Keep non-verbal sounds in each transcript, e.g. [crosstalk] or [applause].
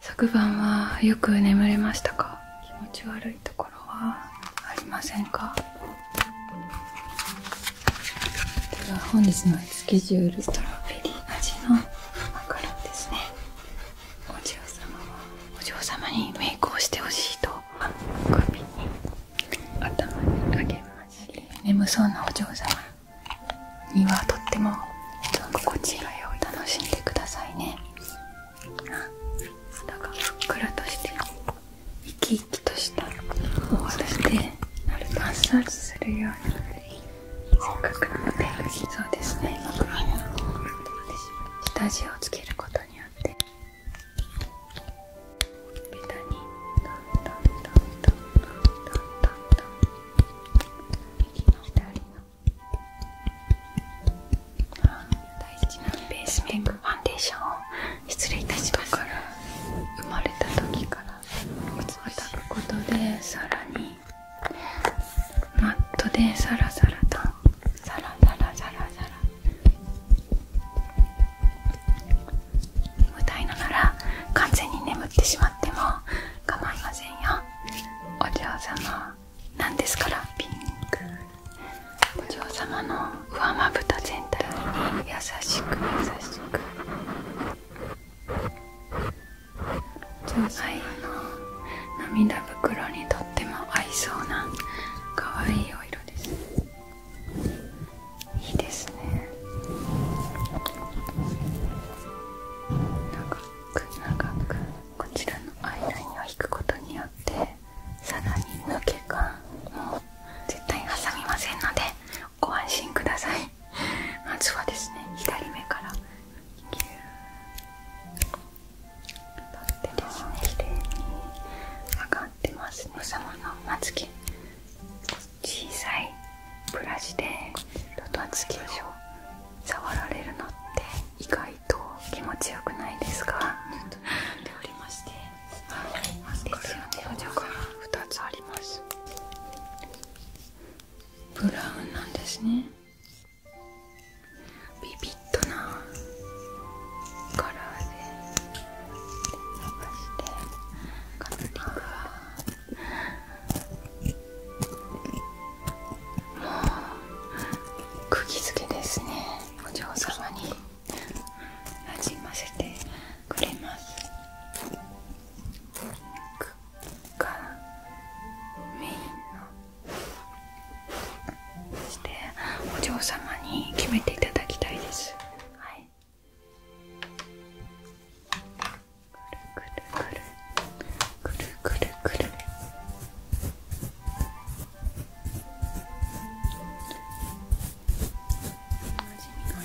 昨晩はよく眠れましたか気持ち悪いところはありませんかでは本日のスケジュールストロベリー味のマカロですねお嬢様はお嬢様にメイクをしてほしいと首に頭にあげます眠そうなお嬢様にはとっても心地よい。い楽しんでくださいね肌がふっくらとして生き生きとしたそしてマッサージするようなせっかくなのでそうですね下地をつけることによってベにトントントントントの大事なベースメイクファンデーション失礼いたしますから生まれた時からおつまたくことでさらにマットでサラサラとサラサラサラサラ無題のなら完全に眠ってしまっても構いませんよお嬢様なんですからピンクお嬢様の上まぶた全体に優しく優しくお嬢んの涙袋にとっても合いそうな可愛いお色ですいいですね長く長くこちらのアイラインを引くことによってさらに抜け感も絶対挟みませんのでご安心くださいまずはですね左目からギュー取ってですねきれいに上がってますね様のまつ毛小さいブラシでロトンスキーを触られるのって意外と気持ちよくないですかちっとおりましてつありますブラウンなんですねビビッドなカラーで伸してカラーリングはう釘付けですねお嬢様になじませてくれますメインのしてお嬢様に決めていただきたいですはいくるくるくるくるくるくる。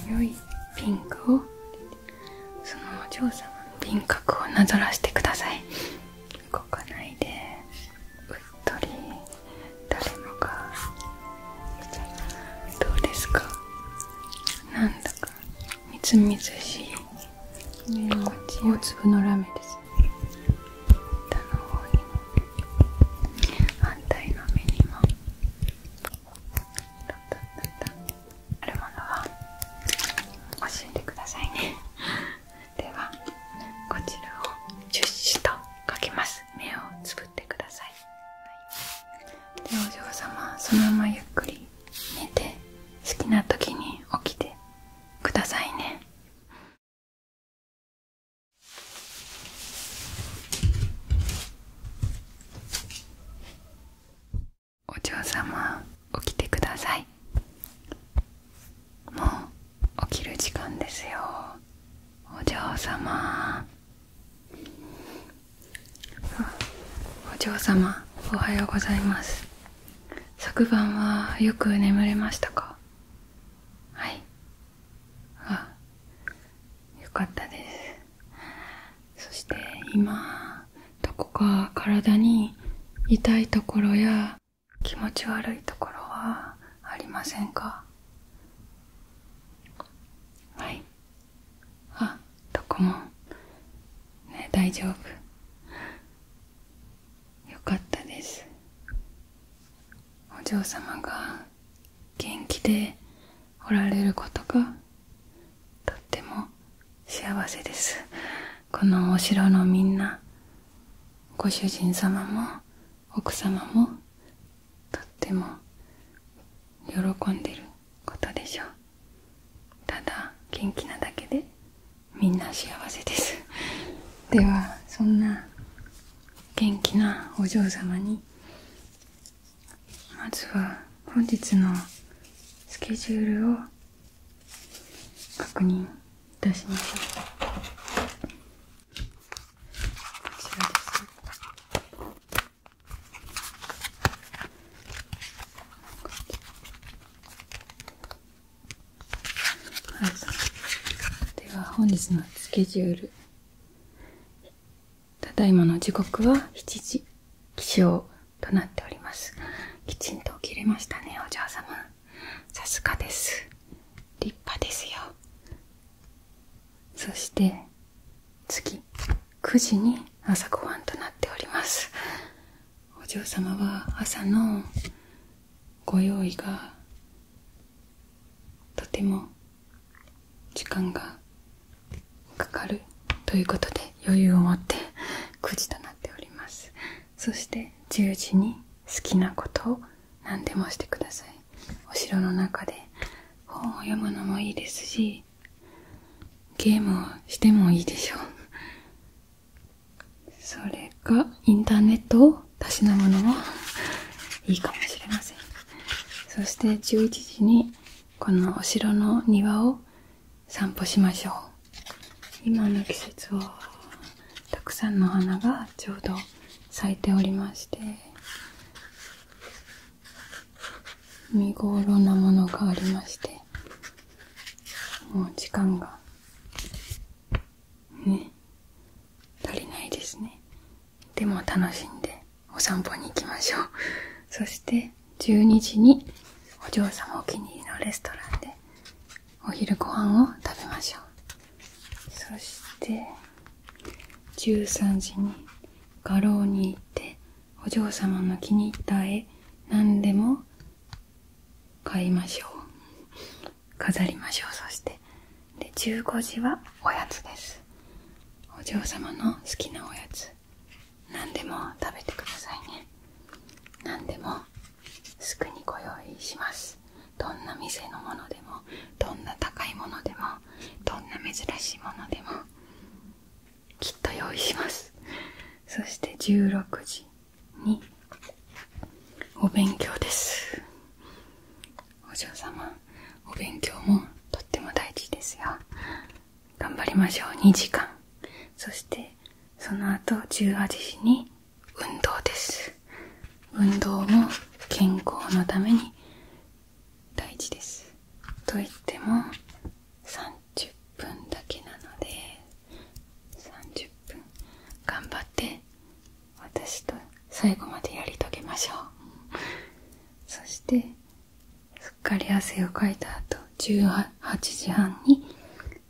味の良いピンクをそのお嬢様の輪郭をなぞらしてください動かないでうっとり誰もがどうですかなんだかみずみずしい大粒のラメです下反対の目にもあるものは教えてくさいね [laughs] ではこちらを10紙と書きます目をつぶってください、はい、でお嬢様そのままゆっくり寝て好きな時に起きてくださいねお嬢様起きてくださいもう起きる時間ですよお嬢様お嬢様おはようございます昨晩はよく眠れましたかはいあよかったですそして今どこか体に痛いところや気持ち悪いところはありませんかはいあどこもね大丈夫よかったですお嬢様が元気でおられることがとっても幸せですこのお城のみんなご主人様も奥様もとっても喜んでることでしょうただ元気なだけでみんな幸せです [laughs] ではそんな元気なお嬢様にまずは本日のスケジュールを確認いたしましょうこちらですはい、では本日のスケジュールただいまの時刻は7時起床となっておりますきちんと起きれましたねお嬢様さすがです立派ですよそして次9時に朝ごはんとなっておりますお嬢様は朝のご用意がとても時間がかかるということで余裕を持って9時となっておりますそして10時に好きなことを何でもしてくださいお城の中で本を読むのもいいですしゲームをしてもいいでしょうそれかインターネットをたしなむのもいいかもしれませんそして11時にこのお城の庭を散歩しましょう今の季節はたくさんの花がちょうど咲いておりまして見頃なものがありましてもう時間がね足りないですねでも楽しんでお散歩に行きましょうそして12時にお嬢様お気に入りのレストランでお昼ご飯を食べましょうそして13時に画廊に行ってお嬢様の気に入った絵何でも買いましょう飾りましょうそしてで15時はおやつですお嬢様の好きなおやつ何でも食べてくださいね何でもすくにご用意しますどんな店のものでもどんな高いものでもどんな珍しいものでもきっと用意しますそして16時にお勉強ですお嬢様お勉強もとっても大事ですよ頑張りましょう2時間そしてその後18時に運動です運動も健康のために大事ですと言っても30分だけなので30分頑張って私と最後までやり遂げましょうそしてすっかり汗をかいた後18時半に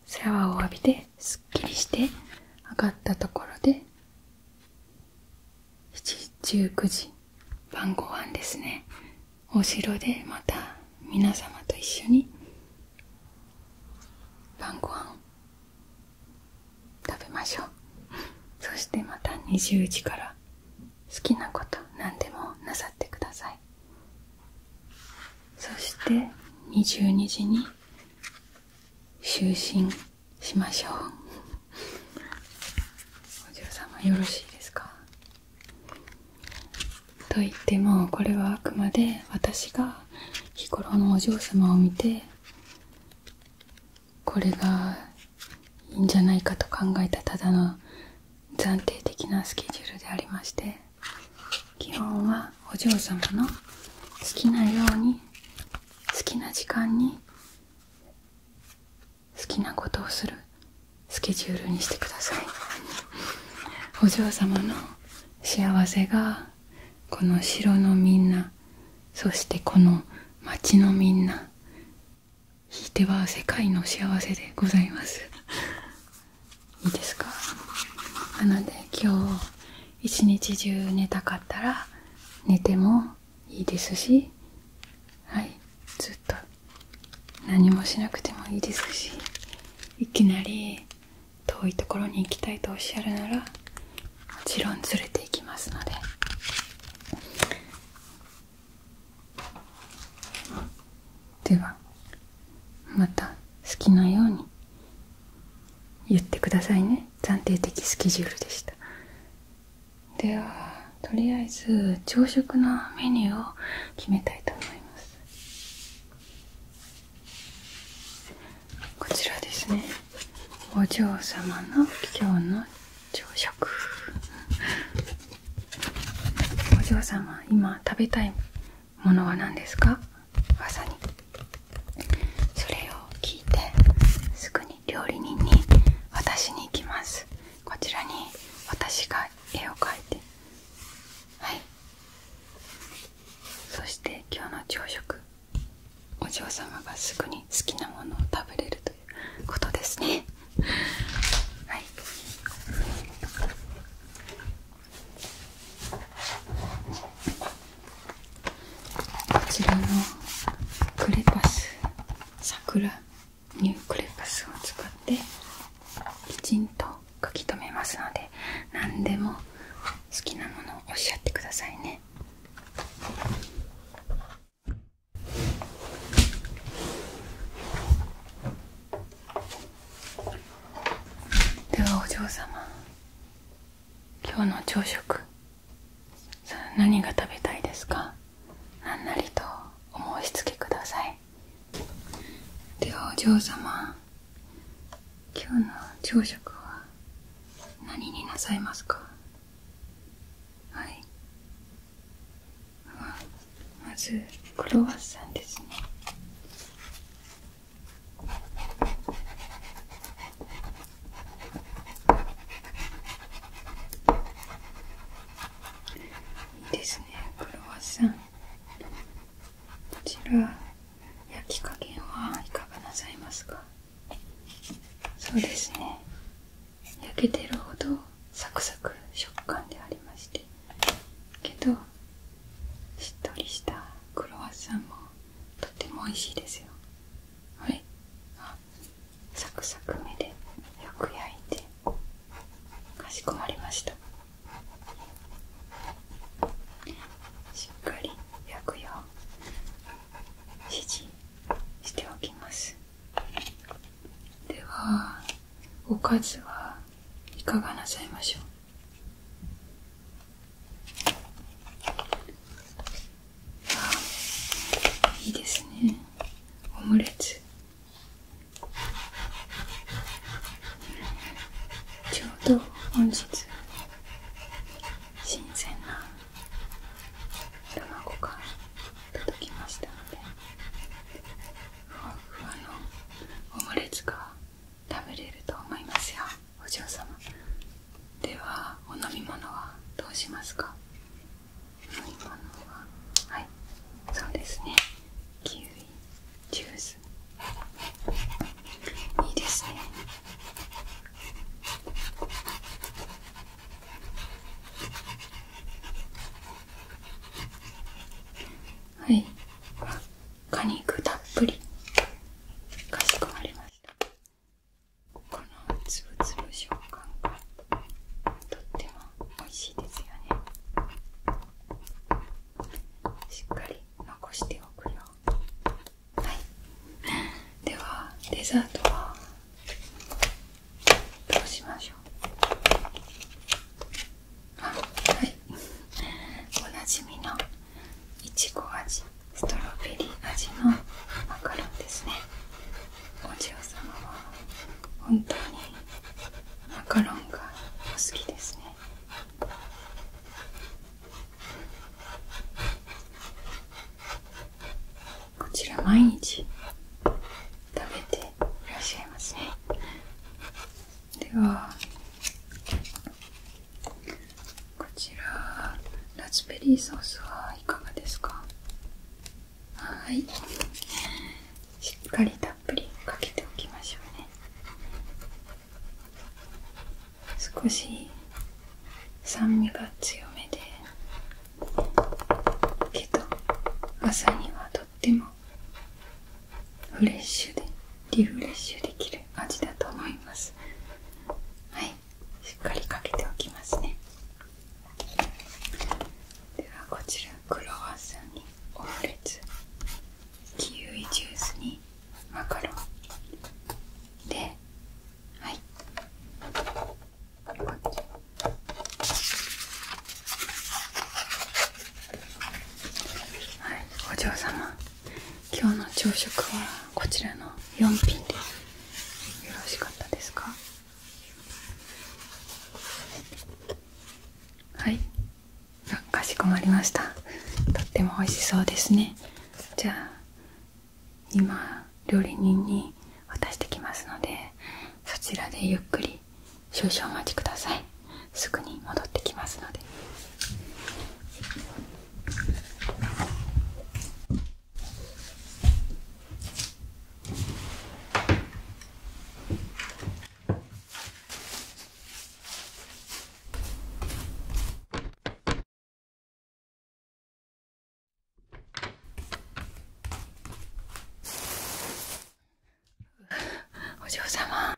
シャワーを浴びてすっきりして上がったところで7時19時晩ご飯ですねお城でまた皆様と一緒に晩ご飯食べましょうそしてまた20時から好きなこと何でもなさってくださいそして22時に就寝しましょうお嬢様よろしいですかといってもこれはあくまで私が日頃のお嬢様を見てこれがいいんじゃないかと考えたただの暫定的なスケジュールでありまして基本はお嬢様の好きなように好きな時間に好きなことをするスケジュールにしてくださいお嬢様の幸せがこの城のみんなそしてこの町のみんなひいては世界の幸せでございますいいですかなので今日一日中寝たかったら寝てもいいですしはいずっと何もしなくてもいいですしいきなり遠いところに行きたいとおっしゃるならもちろん連れていきますのでではまた好きなように言ってくださいね暫定的スケジュールでしたではとりあえず朝食のメニューを決めたいと思いますこちらですねお嬢様の今日の朝食お嬢様今食べたいものは何ですかまにそれを聞いてすぐに料理人に渡に行きますこちらに私絵を描いてはいそして今日の朝食お嬢様がすぐに好きなものを食べれるということですね [laughs] はいこちらのクレパス桜ニュークレパスを使ってきちんと書き留めますので何でも好きなものをおっしゃってくださいねではお嬢様今日の朝食何が食べたいですか何なりとお申し付けくださいではお嬢様今日の朝食は何になさいますかはいまずクロワッサンですねいいですねクロワッサンこちら焼き加減はいかがなさいますかそうですね焼けてるほどサクサク食感でありましてけどしっとりしたクロワッサンもとっても美味しいですよはいサクサク目でよく焼いてかしこまりましたしっかり焼くよう指示しておきますではおかずはいかがなさいましょうあいいですねオムレツちょうど本日新鮮な卵が届きましたのでふわふわのオムレツが食べれると思いますよお嬢様ではお飲み物はどうしますかはいそうですねキウイジュースいいですねはい果肉たっぷりかしこまりましたこのつぶつぶ食感がとっても美味しいですよねしっかり残しておくよはいではデザートはどうしましょうあはいおなじみのいちご味ストロベリー味のマカロンですねお嬢様は本当にマカロンがお好きですねこちら毎日食べていらっしゃいますねではこちらラズベリーソースはいかがですかはいしっかりたっぷりかけておきましょうね少し酸味が強めでけど朝にはとってもフレッシュでリフレッシュできる味だと思いますはいしっかりかけておきますねではこちらクロワッサンにオムレキウイジュースにマカロンではいはいお嬢様今日の朝食はこちらの4品ですよろしかったですかはいかしこまりましたとっても美味しそうですねじゃあ今料理人に渡してきますのでそちらでゆっくり少々お待ちくださいすぐに戻ってきますのでお嬢様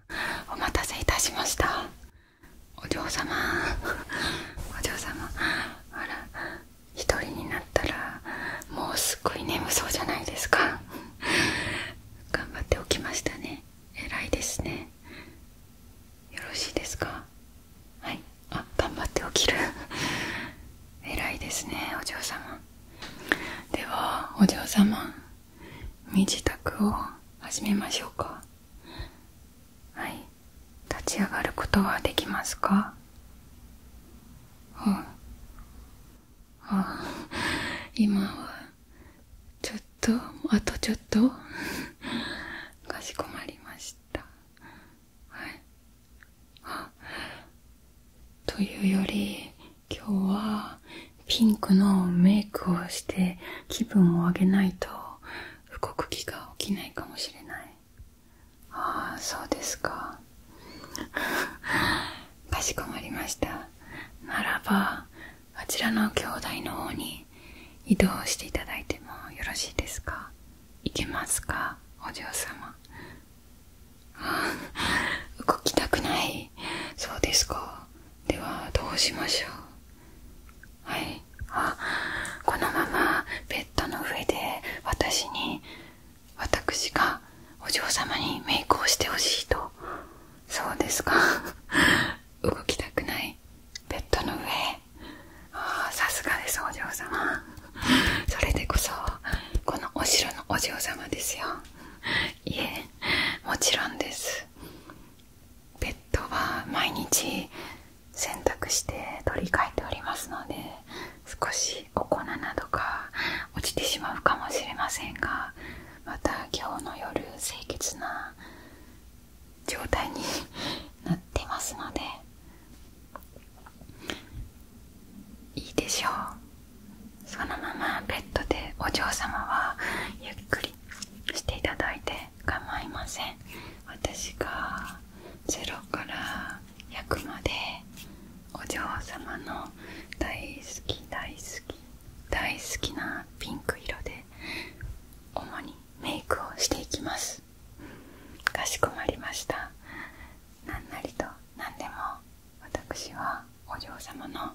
お待たせいたしましたお嬢様お嬢様あら一人になったらもうすっごい眠そうじゃないですか頑張っておきましたね偉いですねよろしいですかはいあ頑張って起きる [laughs] 偉いですねお嬢様ではお嬢様身支度を始めましょうかはい立ち上がることはできますかうんあ今はちょっとあとちょっとかしこまりましたはいあというより今日はピンクのメイクをして気分を上げないと動く気が起きないかもしれないああそうですかかしこまりましたならばあちらの兄弟の方に移動していただいてもよろしいですかいけますかお嬢様動きたくないそうですかではどうしましょうはいあこのままベッドの上で私に私がお嬢様にメイクをしてほしいとそうですか [laughs] 動きたくないベッドの上ああさすがですお嬢様それでこそこのお城のお嬢様ですよいえもちろんですベッドは毎日洗濯して取り替えておりますので少しお粉などが落ちてしまうかもしれませんがまた今日の夜清潔な状態になってますのでいいでしょうそのままベッドでお嬢様はゆっくりしていただいて構いません私がゼロから焼くまでお嬢様の大好き大好き大好きなピンク色で主にメイクをしていきますかしこまりました何なりと何でも私はお嬢様の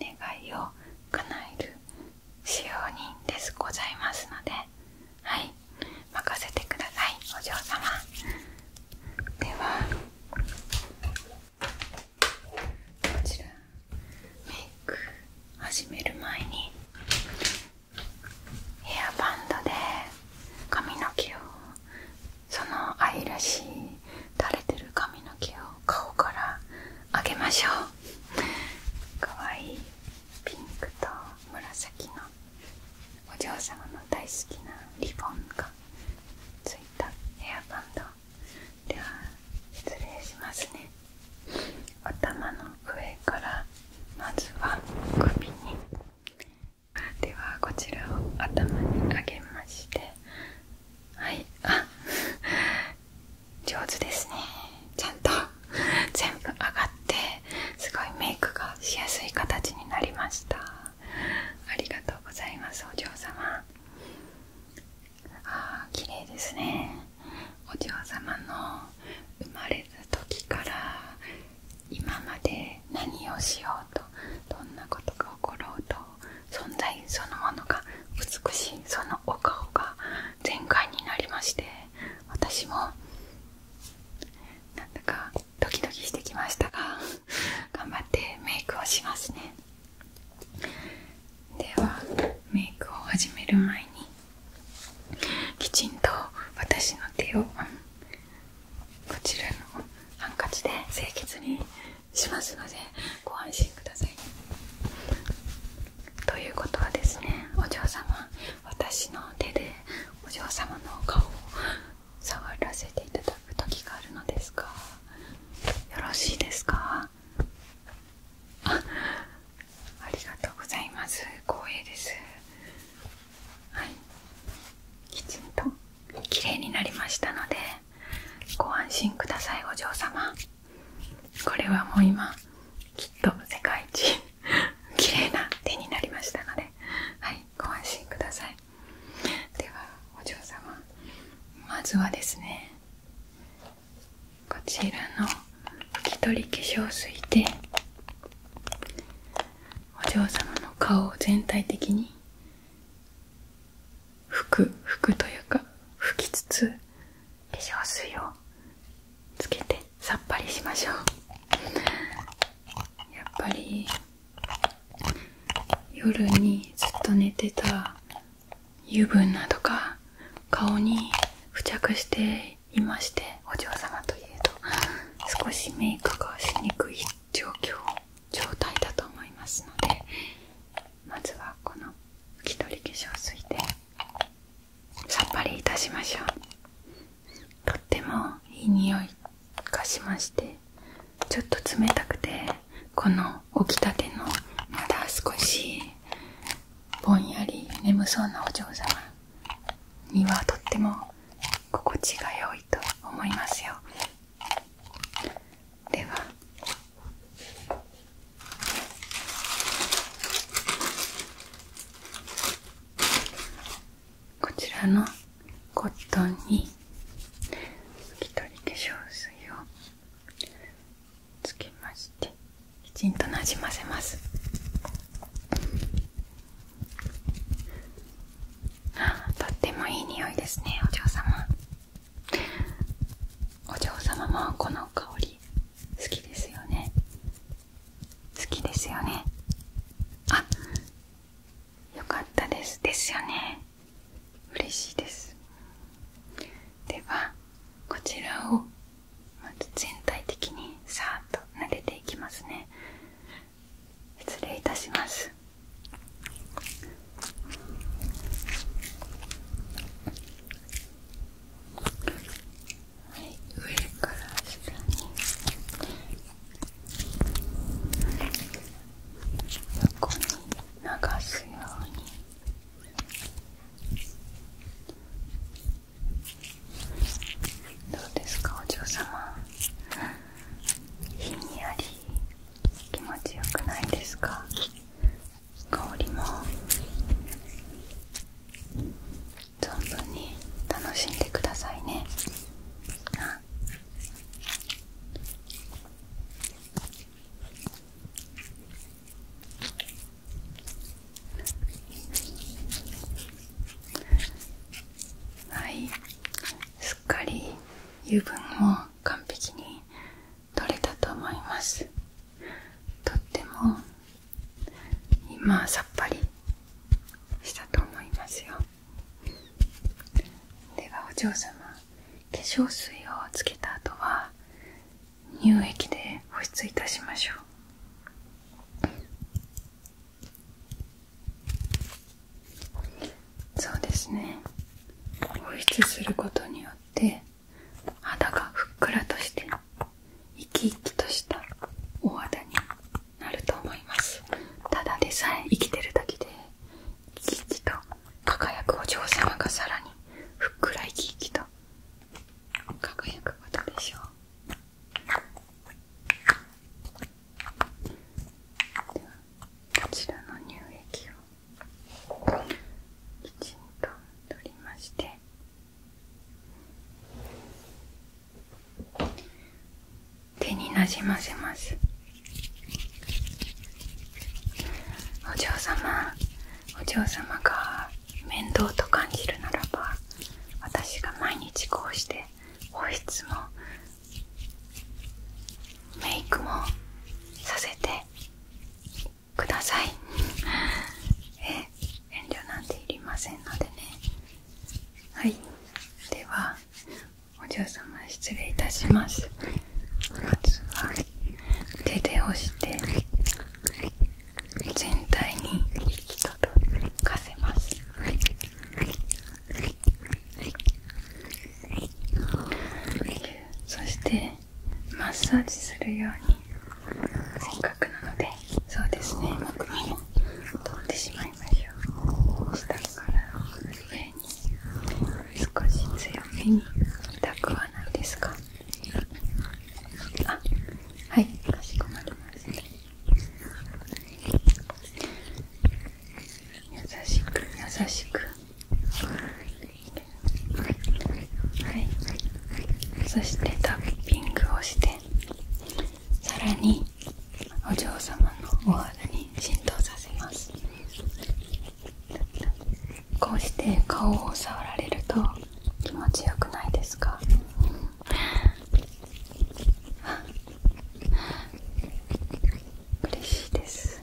願いを叶える使用人ですございますのではい任せてくださいお嬢様ではこちらメイク始める前にヘアバンドで髪の毛をその愛らしい垂れてる髪の毛を顔からあげましょうかわいいピンクと紫のお嬢様の大好きなリボンがついたヘアバンドでは失礼しますね頭の上からまずは首にではこちらを頭に上げましてはいあ上手ですねちゃんと全部上がってすごいメイクがしやすい形になりましたありがとうございますお嬢様ああ綺麗ですねお嬢様の生まれた時から今まで何をしようとどんなことが起ころうと存在そのものが美しいそのお顔が全開になりまして私もなんだかドキドキしてきましたが頑張ってメイクをしますねではメイクを始める前にきちんと私の手をこちらのハンカチで清潔にしますのでご安心くださいということはですねお嬢様私の手でお嬢様の顔を触らせていただく時があるのですか？よろしいですかあありがとうございます光栄ですはいきちんと綺麗になりましたのでご安心くださいお嬢様これはもう今きっと世界一 [laughs] 綺麗な手になりましたのではいご安心くださいではお嬢様まずはですねこちらの拭き取り化粧水でお嬢様の顔を全体的に拭く拭くというか拭きつつ化粧水をつけてさっぱりしましょうやっぱり夜にずっと寝てた油分などが顔に付着していましてお嬢様といえど少しメイクがしにくい状況状態だと思いますのでまずはこの拭き取り化粧水でさっぱりいたしましょうとってもいい匂いがしましてちょっと冷たくてこの起きたてのまだ少しぼんやり眠そうなお嬢様にはとっても心地が良いと思いますよではこちらのコットンに拭き取り化粧水をつけましてきちんとなじませますとってもいい匂いですねお嬢様お嬢様もこの香り好きですよね好きですよねあよかったですですよね嬉しいですではこちらをまず全体的にさーっとなでていきますね失礼いたしますはい、上から下に横に流すようにどうですかお嬢様ひんやり気持ちよくないですか香りも存分に楽しんでくださいねあはいすっかり油分を完璧に取れたと思いますとっても今さっぱりしたと思いますよではお嬢様化粧水をつけた後は乳液で保湿いたしましょうそうですね保湿することによって肌がふっくらとして生き生きとした大肌になると思いますただでさえ生きてるだけで生き生きと輝くお嬢様がさらにふっくら生き生きと輝くことでしょうではこちらの乳液をきちんと取りまして手になじませますお嬢様お嬢様が面倒と感じるならば私が毎日こうして保湿もメイクもさせてくださいえ遠慮なんていりませんのでねはいではお嬢様失礼いたしますまずは手で押して全体に息とかせますそしてマッサージするようにせっかくなのでそうですね、もくみ取ってしまいましょう少し強めに痛くはないですかあはいかしこまりました優しく優しくはいそしてタッピングをしてさらにお嬢様のお肌に浸透させますこうして顔を触られると気持ちよくないですか嬉しいです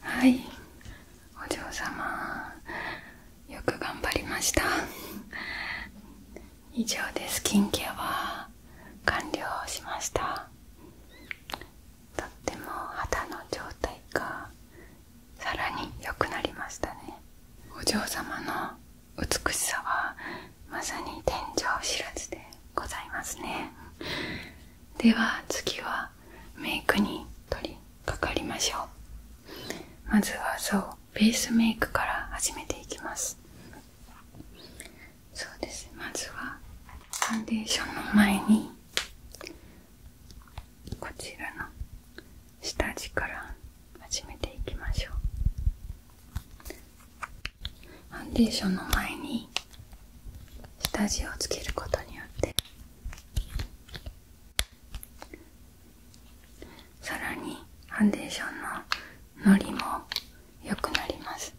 はいお嬢様よく頑張りました以上でスキンケアは完了しましたとっても肌の状態がさらに良くなりましたねお嬢様の美しさはまさに天井知らずでございますねでは次はメイクに取りかかりましょうまずはそうベースメイクから始めていきますそうですまずはファンデーションの前にこちらの下地から始めていきましょうファンデーションの前に下地をつけることによってさらにファンデーションのノリも良くなります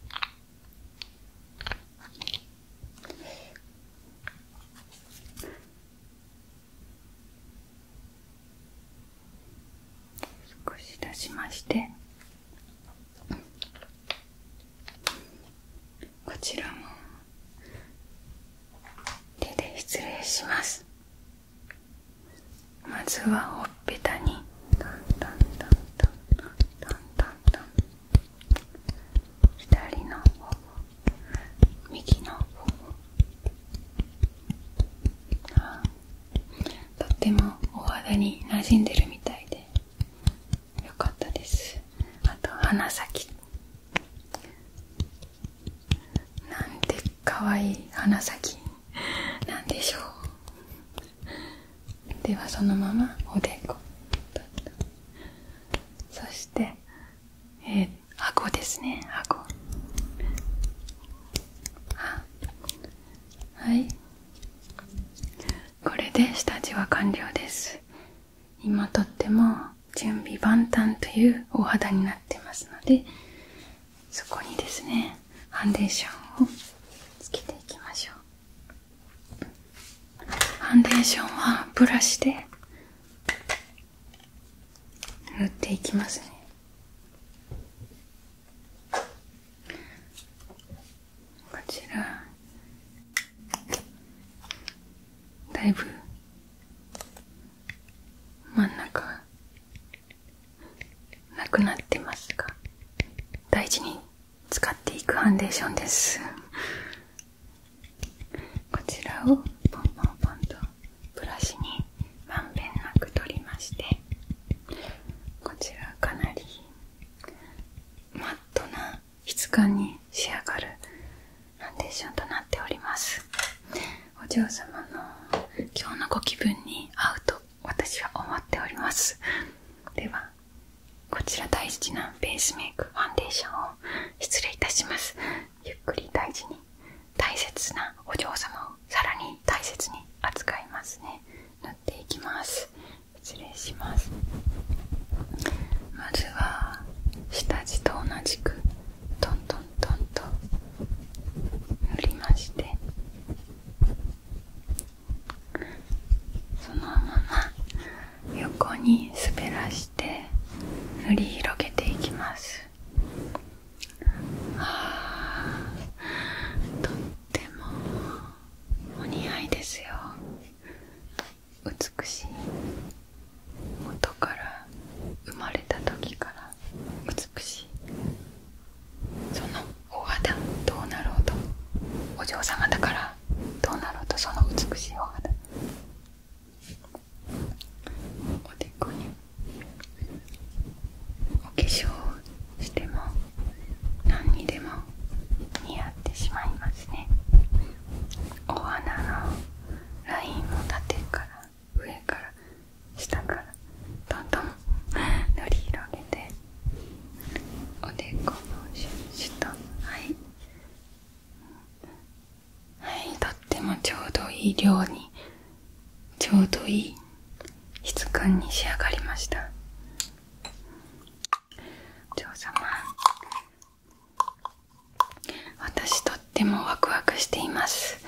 少し出しましてこちらも手で失礼しますまずはほっぺたにトントントントントントントン左の頬右の頬あとってもお肌に馴染んでるみたいでよかったですあと鼻先なんてかわいい鼻先なんでしょうではそのままおでこそしてえー、顎ですね顎ははいこれで下地は完了です今とっても準備万端というお肌になってますのでそこにですねファンデーションをつけていきましょうファンデーションはブラシで塗っていきますねこちらだいぶ真ん中なくなってますが大事に使っていくファンデーションですこちらをポンポンポンとブラシにまんべんなく取りましてこちらかなりマットな質感に仕上がるファンデーションとなっておりますお嬢様の今日のご気分に合うと私は思っておりますではこちら大事なベースメイクファンデーションを失礼いたしますゆっくり大事に大切なお嬢様をさらに大切に扱いますね塗っていきます失礼しますまずは下地と同じくトントントンと塗りましてそのまま横に滑らして塗り広げていきますあとってもお似合いですよ美しい元から生まれた時から美しいそのお肌どうなろうとお嬢様だからどうなろうとその美しいお肌おでこにお化粧しても何にでも似合ってしまいますねお花のラインを縦から上から下からどんどん [laughs] 塗り広げておでこの下はいはいとってもちょうどいい量にちょうどいい質感に仕上がりましたお嬢様私とってもワクワクしています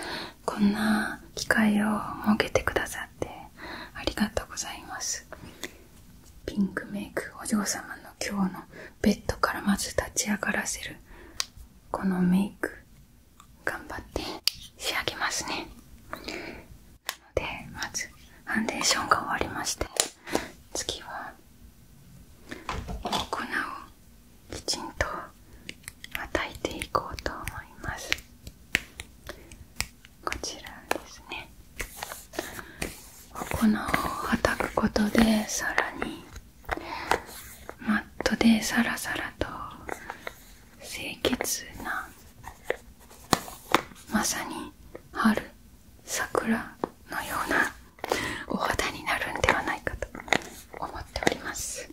こんな機会を設けてくださってありがとうございますピンクメイクお嬢様の今日のベッドからまず立ち上がらせるこのメイク頑張って仕上げますねなのでまずファンデーションが終わりまして次はお粉をきちんと与えていこうと思いますこちらですねここのはたくことでさらにマットでサラサラと清潔なまさに春桜のようなお肌になるんではないかと思っております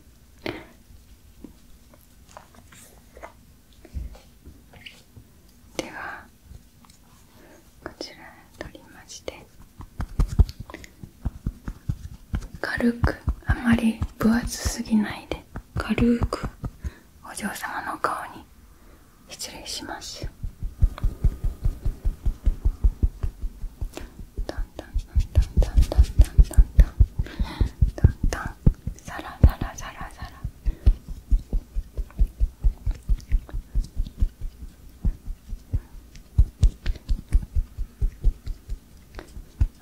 ではこちら取りまして軽くあまり分厚すぎないで軽くお嬢様の顔に失礼しますだんだんだんだんだんだんだんだんだんだんだんだんだんだんサラサラサラサラ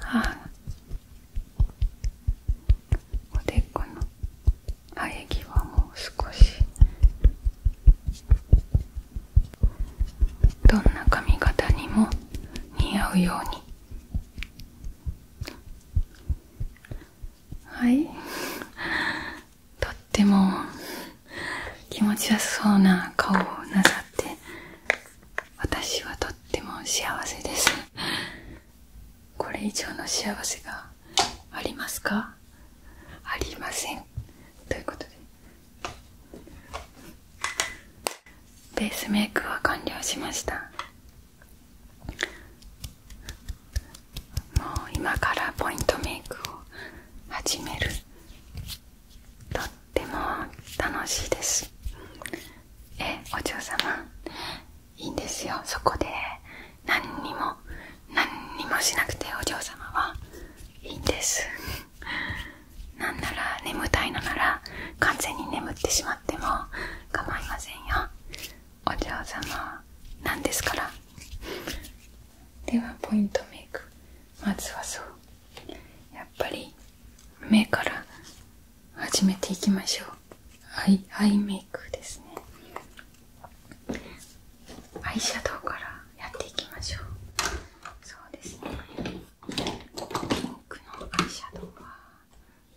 あおでこの生え際もう少しどんな髪型にも似合うようにはいとっても気持ちよさそうな顔をなさって私はとっても幸せですこれ以上の幸せがありますかありませんということでベースメイクは完了しましたもう今からポイントメイクを始めるとっても楽しいですえお嬢様いいんですよそこで何にも何にもしなくてお嬢様はいいんですなんなら眠たいのなら完全に眠ってしまっても構いませんよお嬢様なんですからではポイントメイクまずはそうやっぱり目から始めていきましょうアイアイメイクですねアイシャドウからやっていきましょうそうですねピンクのアイシャドウはどれが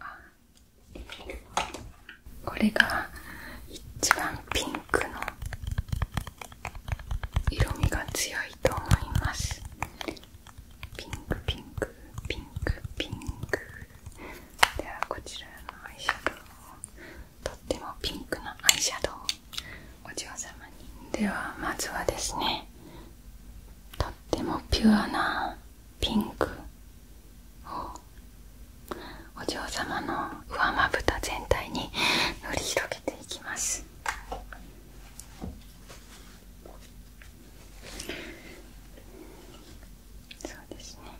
あこれが一番ピンクの色味が強いと思いますピンクピンクピンクピンクではこちらのアイシャドウをとってもピンクのアイシャドウお嬢様にではまずはですねとってもピュアなピンクをお嬢様の上まぶた全体に塗り広げていきますそうですね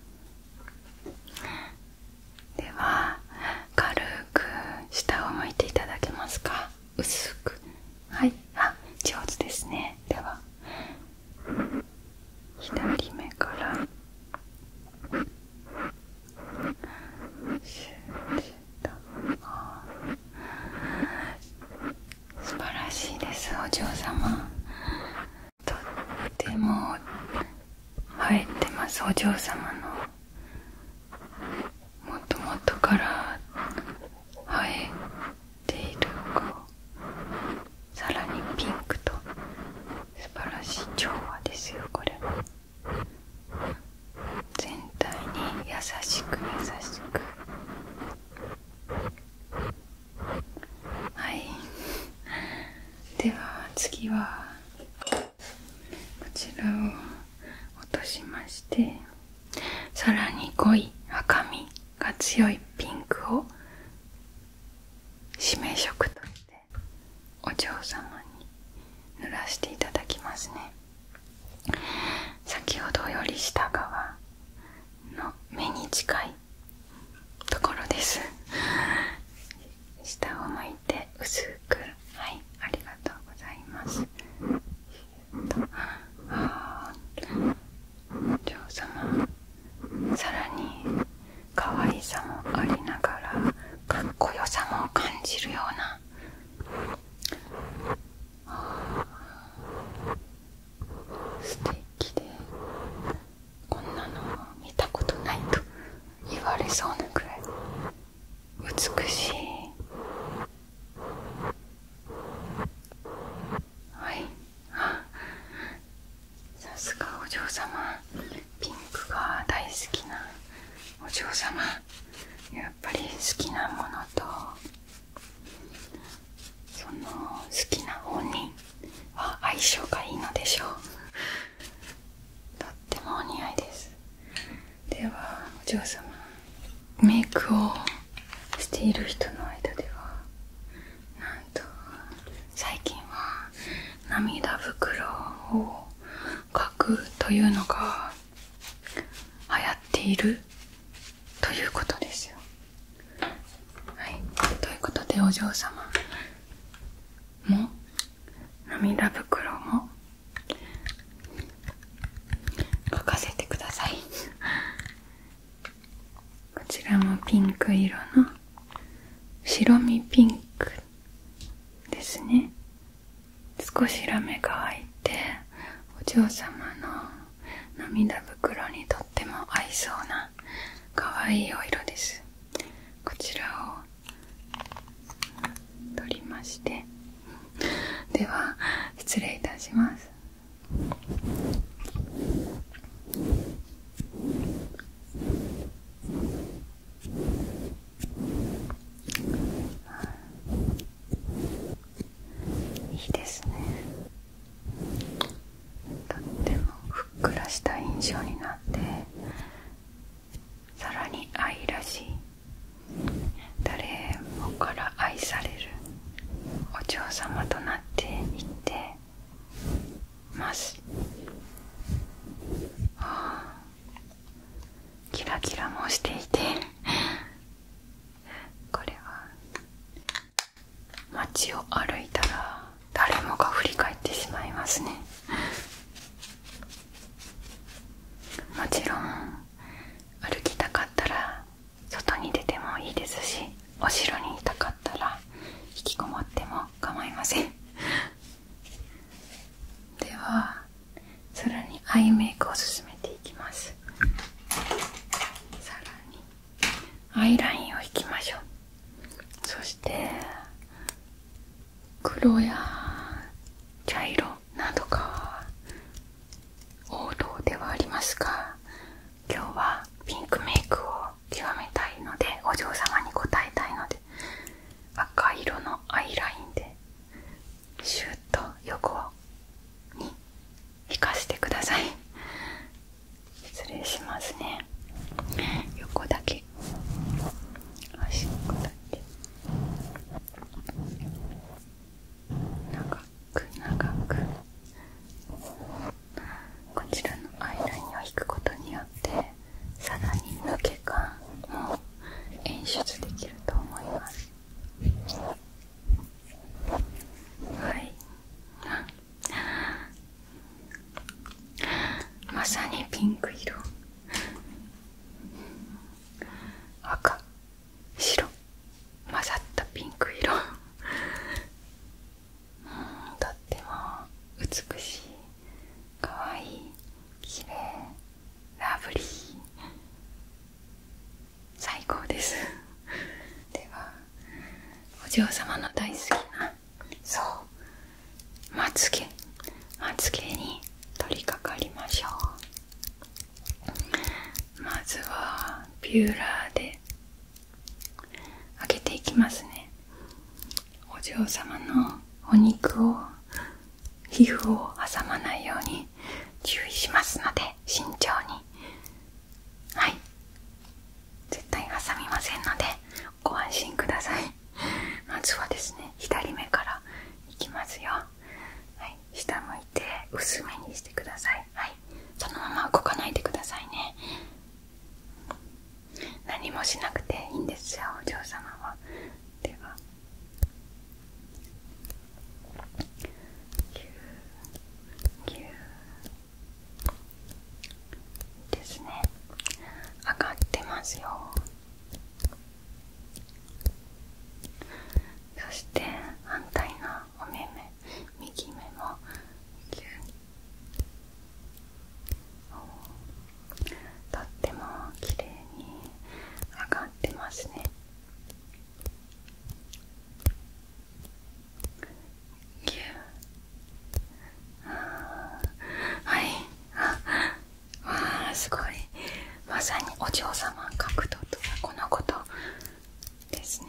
では軽く下を向いていただけますか薄くはいあ上手ですねでは左目から素晴らしいですお嬢様とっても映えてますお嬢様のもともとから生えているこうさらにピンクと素晴らしい調和ですよこれ全体に優しく優しくはいでは次はこちらを落としまして。さらに濃い赤みが強いピンクを締め色としてお嬢様に塗らせていただきますね先ほどより下側の目に近いところです下を向いて薄くはいありがとうございます女王様さらに可愛さもありながらかっこよさも感じるような素敵でこんなの見たことないと言われそうなくらい美しいはいあさすがお嬢様ピンクが大好きなお嬢様やっぱり好きなものとその好きな本人は相性がいいのでしょうとってもお似合いですではお嬢様メイクをしている人の間ではなんと最近は涙袋を描くというのが流行っているということですよはいということでお嬢様も涙袋も書かせてくださいこちらもピンク色の白身ピンクですね少しラメが湧いてお嬢様の涙袋にとっても合いそうな可愛いお色ですこちらを取りましてでは失礼いたしますいいですねとってもふっくらした印象になってさらに愛らしい誰もから愛されるお嬢様となっていってます、はあ、キラキラもしていて [laughs] これは街を歩いたら誰もが振り返ってしまいますね [laughs] もちろん歩きたかったら外に出てもいいですしお城にいたかったら引きこもっても構いません [laughs] ではさらにアイメイクを進めていきますさらにアイラインを引きましょうそして黒や茶色何どか王道ではありますが今日はピンクメイクを極めたいのでお嬢様に応えたいので赤色のアイラインでシュッと横に引かせてください失礼しますね横だけ足っこだけ長く長くこちらのアイラインを引くことによってさらに抜け感も演出できると思いますはいまさにピンク色赤白混ざったピンク色うんとっても美しいかわいいきれいラブリー最高ですではお嬢様の大好きなそうまつげまつげに取り掛かりましょうまずはビューラーで開けていきますねお嬢様のお肉を皮膚を挟まないように注意しますので慎重にはい絶対挟みませんのでご安心くださいまずはですね左目からいきますよはい下向いて薄めにしてくださいはいそのまま動かないでくださいね何もしなくていいんですよお嬢様はではぎゅうぎですね上がってますよそして反対のお目目右目もとっても綺麗に上がってますねはいああすごいまさにお嬢様角度とはこのことですね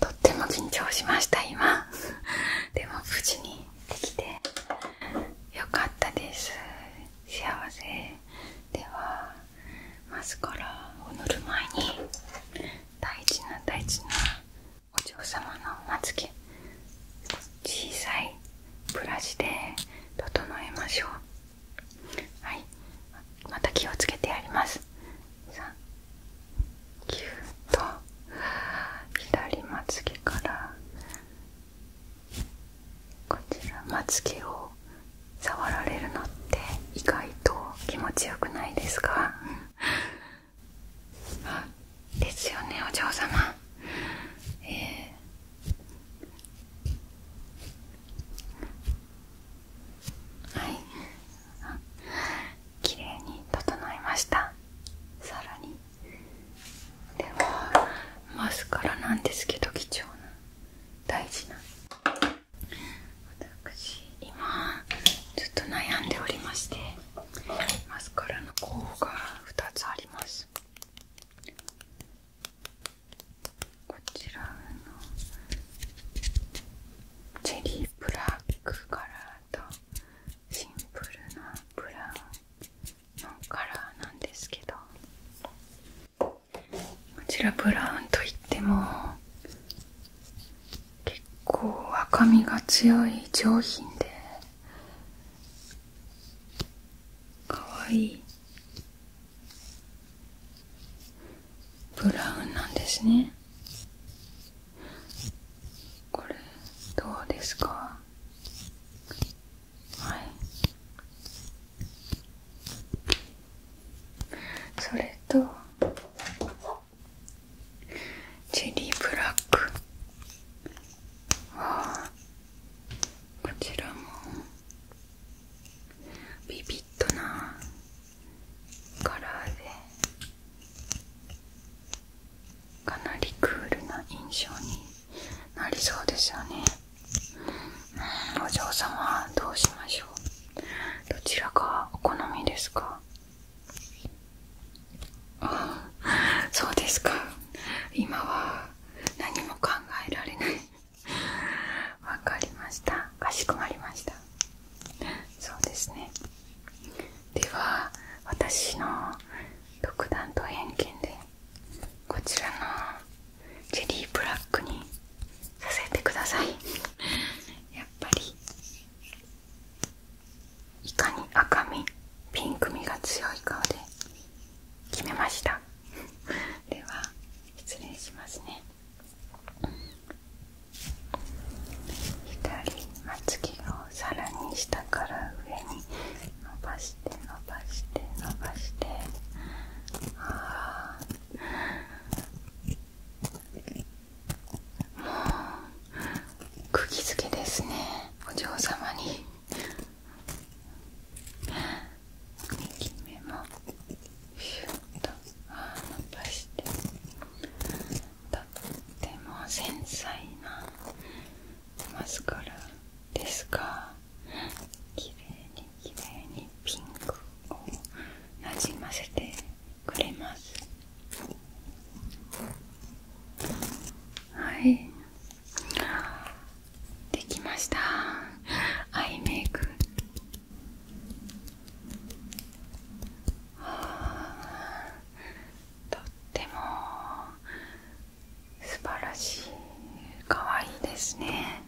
とっても緊張しました今 [laughs] でも無事にできてよかったです幸せではマスカラを塗る前に大事な大事なお嬢様のおまつげ小さいブラシで整えましょうはいまた気をつけてやりますさあキュッと左まつ毛からこちらまつ毛を触られるのって意外と気持ちよくないですか [laughs] ですよねお嬢様えはい綺麗に整いましたさらにではマスカラなんですけど貴重な大事な私今ずっと悩んでおりましてマスカラの候補が2つありますこちらのチェリーブラックカラーとシンプルなブラウンのカラーなんですけどこちらブラウンといっても結構赤みが強い上品で可愛いブラウンなんですねこれどうですかはいそれとチェリーブラックああこちらもビビッとなカラーでかなりクールな印象になりそうですよねお嬢様どうしましょうどちらがお好みですかあそうですか今は何も考えられない [laughs] わかりましたかしこまりましたそうですねでは私の独断と偏見でこちらのジェリーブラックにさせてくださいやっぱりいかに赤みピンクみが強い顔で決めましたでは失礼しますね左まつ毛をさらに下から上に伸ばして伸ばして伸ばしてあもうく釘づけですねお嬢様に右目もシュッと伸ばしてとっても繊細なマスカラですがきれいにきれいにピンクをなじませてくれますはいできましたアイメイクとっても素晴らしいかわいいですね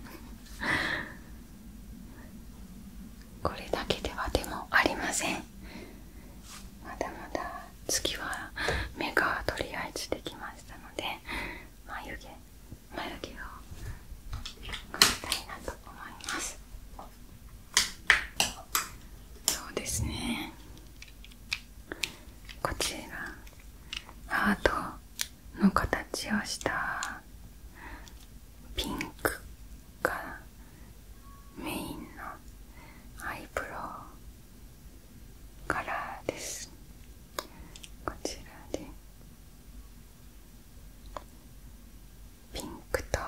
これだけではでもありませんまだまだ次は目がとりあえずできましたので眉毛眉毛を描きたいなと思いますそうですねこちらアートの形をしたピンクがメインのアイブロウカラーですこちらでピンクと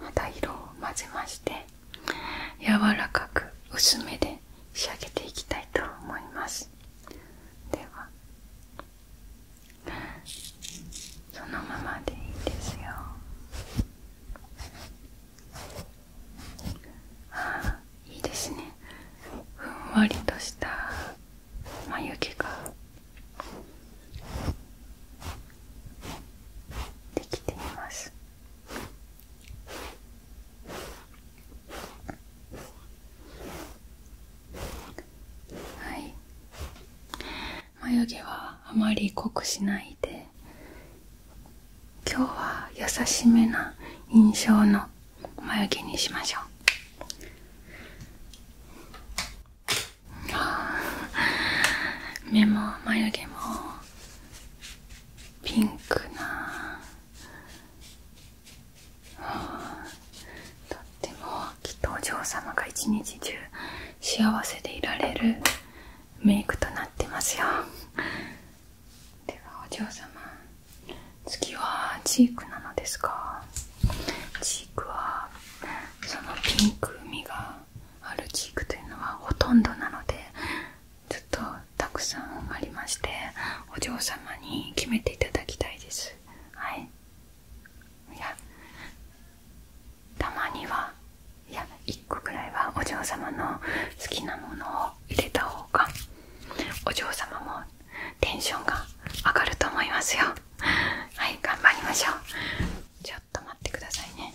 また色を混ぜまして柔らかく薄めで仕上げていきたいと思いますではそのままでいいですよああいいですねふんわりとした眉毛ができていますはい眉毛はあまり濃くしないで今日は優しめな印象の眉毛にしましょう目も眉毛もピンクなとってもきっとお嬢様が一日中幸せでいられるメイクとなってますよではお嬢様次はチークなのですかチークはそのピンクみがあるチークというのはほとんどなのでちょっとたくさんありましてお嬢様に決めていただきたいですはいいやたまにはいや1個くらいはお嬢様の好きなものを入れた方がお嬢様もテンションが上がると思いますよはい頑張りましょうちょっと待ってくださいね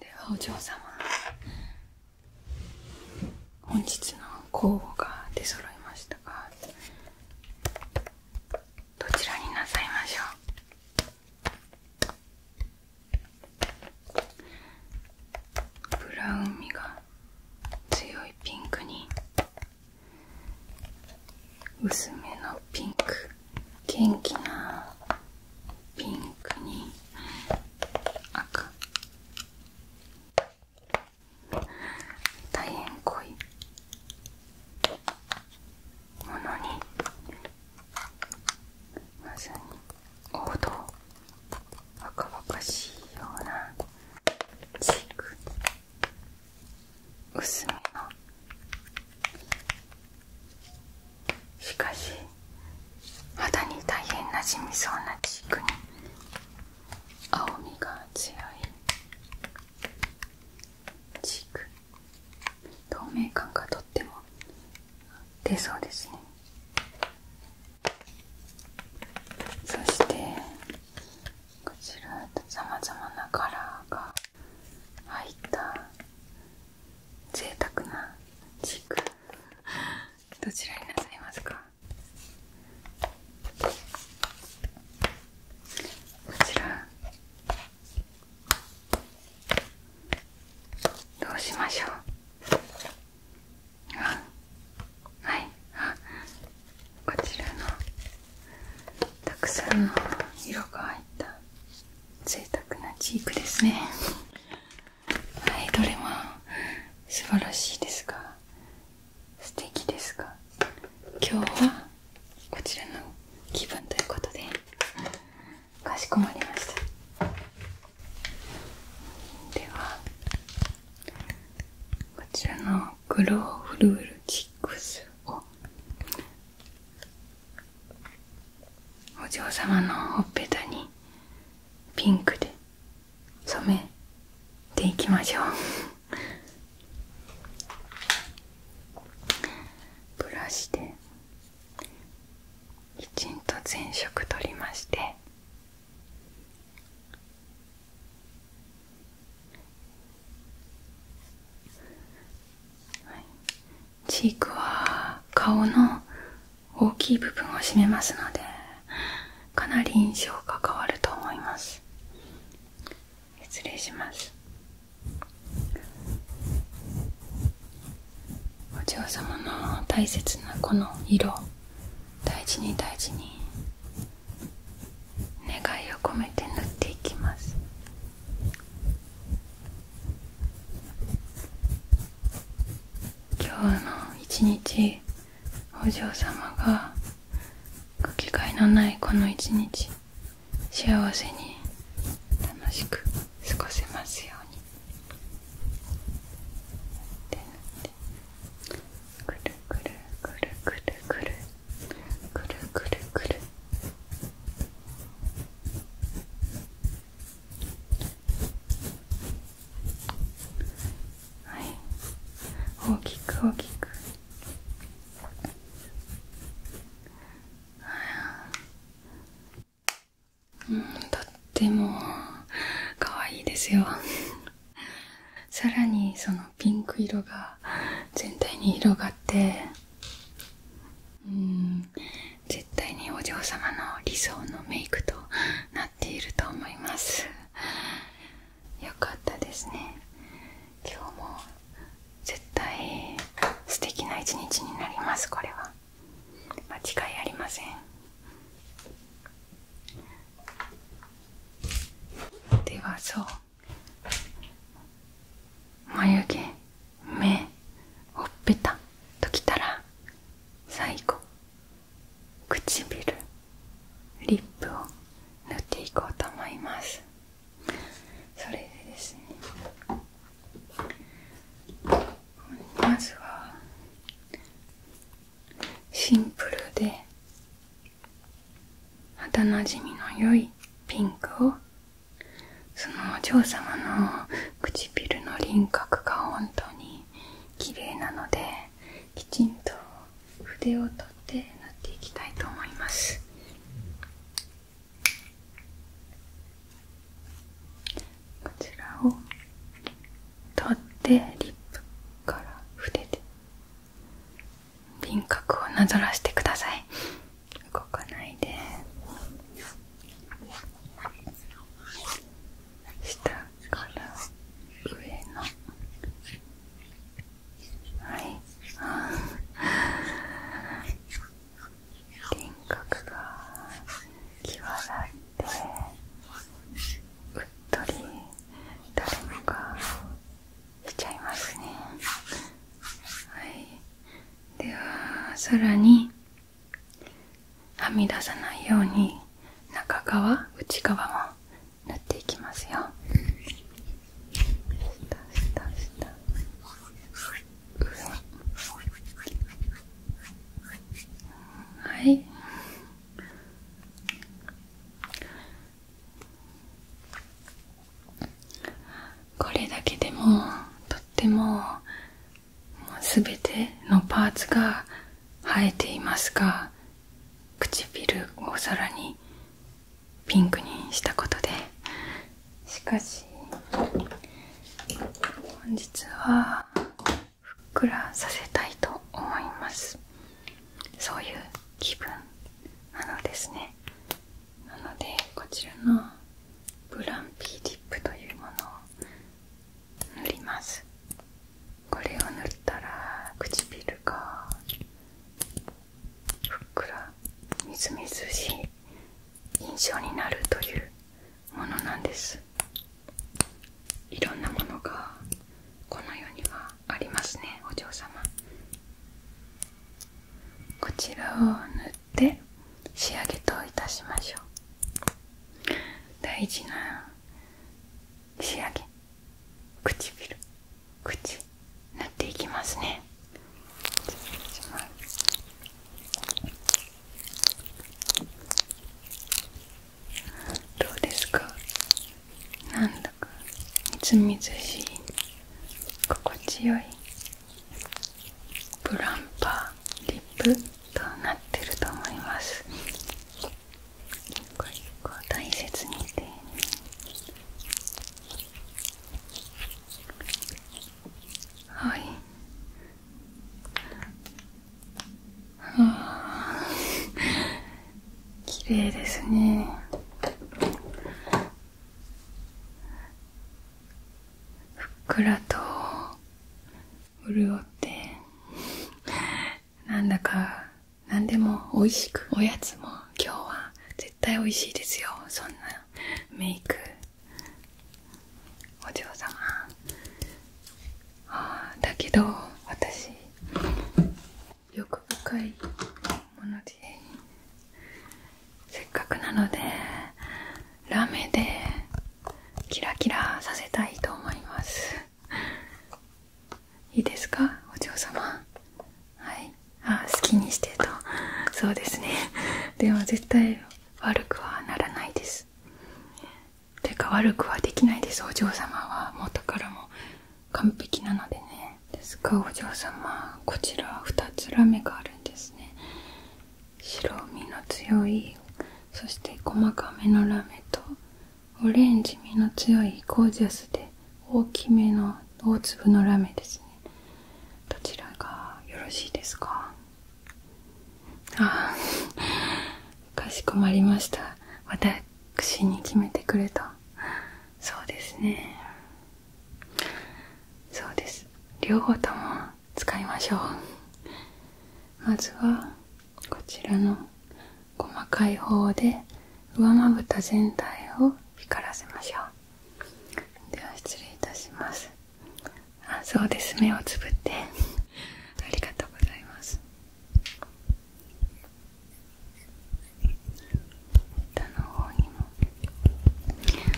ではお嬢様本日の候補が出揃いましたがどちらになさいましょうブラウン味が強いピンクに薄めのピンク元気なピンクに赤大変濃いものにまさに王道若々しいようなチーク薄めのしかし肌に大変な染みそうなチークに青みが強いチーク透明感がとっても出そうですねそしてこちらさまざまなカラーが入った贅沢なチークどちらになさいますかこちらどうしましょうあはいあこちらのたくさんの色が入った贅沢なチークですねはいどれも素晴らしいですが素敵ですが今日はこちらの気分ということでかしこまりましたではこちらのグローフルールチックスをお嬢様のほっぺたにピンクで染めていきましょうブラシできちんと前色取りましてはい、チークは顔の大きい部分を占めますのでかなり印象が変わると思います失礼しますお嬢様の大切なこの色大事に大事に願いを込めて塗っていきます今日の一日お嬢様がかけがえのないこの一日幸せに楽しく過ごせますようにってなってくるくるくるくるくるくるくるくるはい大きく大きくうんとっても可愛いですよ [laughs] さらにそのピンク色が全体に広がってうん絶対にお嬢様の理想のメイクとなっていると思いますよかったですね今日も絶対素敵な一日になりますこれは間違いありませんではそう眉毛目ほっぺたときたら最後唇リップを塗っていこうと思いますそれでですねまずはシンプルで肌なじみの良いピンクをそのお嬢様の唇の輪郭が本当に綺麗なのできちんと筆を取って塗っていきたいと思いますこちらを取ってリップから筆で輪郭をなぞらしてください動かないで下から上の輪郭が際立ってうっとり誰もがしちゃいますねはいではさらにはみ出さないように中側内側も縫っていきますよはいこれだけでもとっても全てのパーツが生えていますが唇をさらにピンクにしたことでしかし本日はふっくらさせたいと思いますそういう気分あのですねなのでこちらのブランピーディップというものを塗りますこれを塗ったら唇がふっくらみずみずしい印象になるというものなんですいろんなものがこの世にはありますねお嬢様こちらを塗って仕上げといたしましょう大事な仕上げ唇口塗っていきますねどうですかなんだかみずみずしい心地よいプランパーリップとなってると思いますこれこう大切にて、ね、はいあ [laughs] 綺麗ですねふっくらと潤ってなんだか何でも美味しくおやつも今日は絶対美味しいですよそんなメイクお嬢様あだけど私欲深いものでせっかくなのでラメでキラキラさせたいと思いますいいですかお嬢様はいあ好きにしてとそうですねでも絶対悪くはならないですてか悪くはできないですお嬢様は元からも完璧なのでねですがお嬢様こちら2つラメがあるんですね白身の強いそして細かめのラメとオレンジ身の強いゴージャスで大きめの大粒のラメですねどちらがよろしいですかああかしこまりました私に決めてくれた。そうですねそうです両方とも使いましょうまずはこちらの細かい方で上まぶた全体を光らせましょうでは失礼いたしますあそうです目をつぶってありがとうございます下の方にも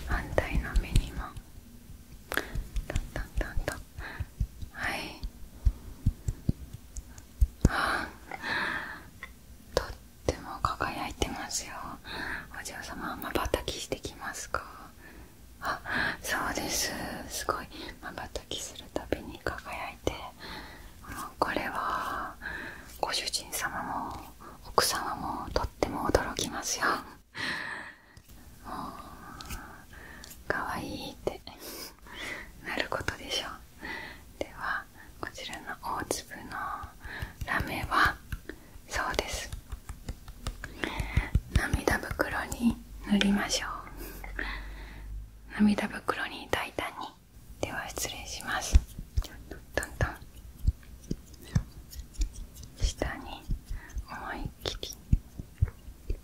反対の目にもたんたんたんとはいあとっても輝いてますよお嬢様まばたきしてきますかあそうですすごいまばたきするたびに輝いてこれはご主人様も奥様もとっても驚きますよもうかわいいってなることでしょうではこちらの大粒のラメはそうです涙袋に塗りましょう涙袋に大胆にでは失礼します下に思いっきり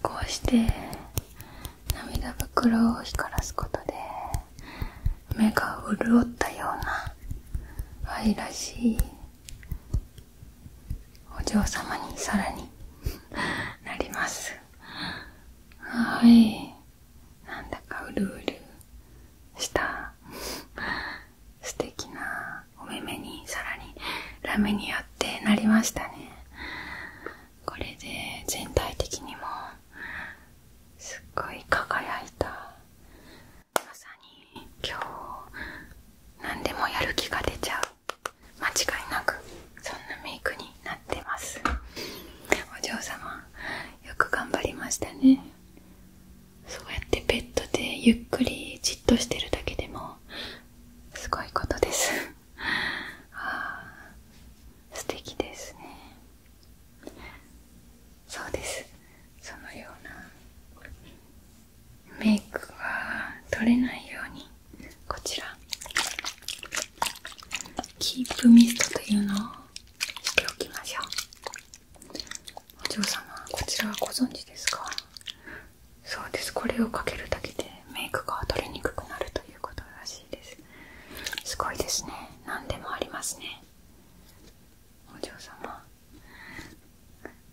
こうして涙袋を光らすことで目が潤ったような愛らしいお嬢様にさらに [laughs] なりますはいなんだかうるうるした素敵なお目目にさらにラメによってなりましたねこれで全体的にもすっごい輝いたまさに今日何でもやる気が出ちゃう間違いなくそんなメイクになってますお嬢様よく頑張りましたねそうやってベッドでゆっくりじっとしてるだけでもすごいことですああ素敵ですねそうですそのようなメイクが取れないようにこちらキープミストというのをしておきましょうお嬢様こちらはご存知ですかそうですこれをかけるだけでメイクが取れにくくなるということらしいですすごいですね何でもありますねお嬢様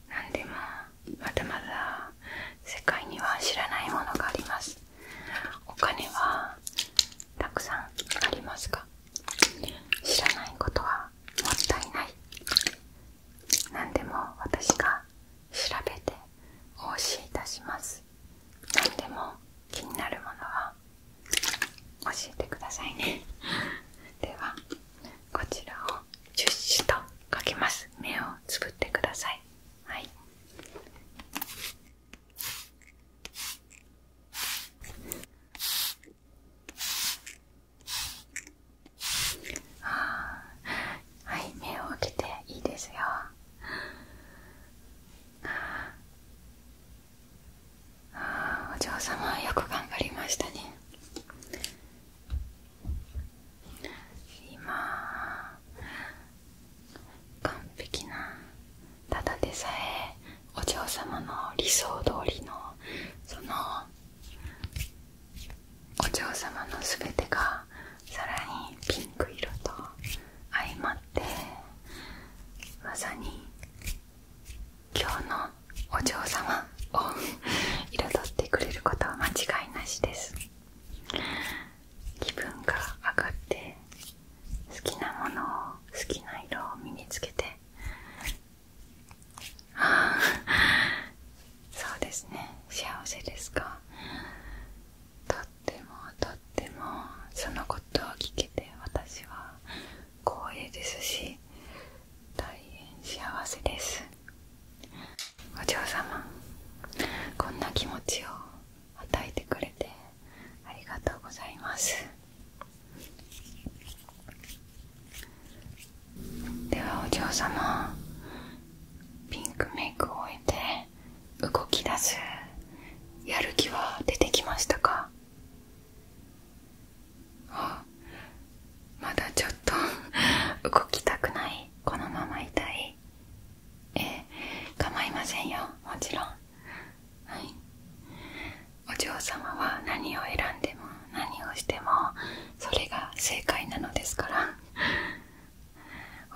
何でもまだまだ世界には知らないものがありますお金はたくさんありますが知らないことはもったいない何でも私が調べてお教えいたします何でも気になるものは教えてくださいねではこちらをジュッとかけます目を作ってくださいはいあはい目を開けていいですよああお嬢様よく頑張りましたね今完璧なただでさえお嬢様の理想通りのそのお嬢様の全てがさらにピンク色と相まってまさに今日のお嬢様彩ってくれることは間違いなしです気分が上がって好きなものを好きな色を身につけてそうですね幸せですかとってもとってもそのことを聞けて私は光栄ですし大変幸せですお嬢様こんな気持ちを与えてくれてありがとうございますではお嬢様ピンクメイクを終えて動き出すやる気は出てきましたかあまだちょっと動きたくないこのまま痛いええ構いませんよもちろんはいお嬢様は何を選んでも何をしてもそれが正解なのですから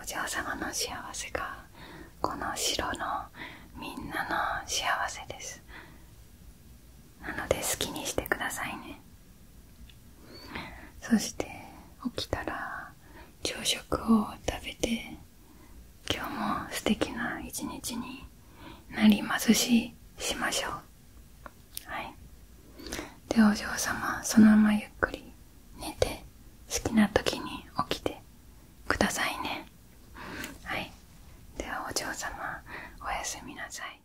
お嬢様の幸せがこの城のみんなの幸せですなので好きにしてくださいねそして起きたら朝食を食べて今日も素敵な一日になりますししましょうはいでお嬢様そのままゆっくり寝て好きな時に起きてくださいねはいではお嬢様おやすみなさい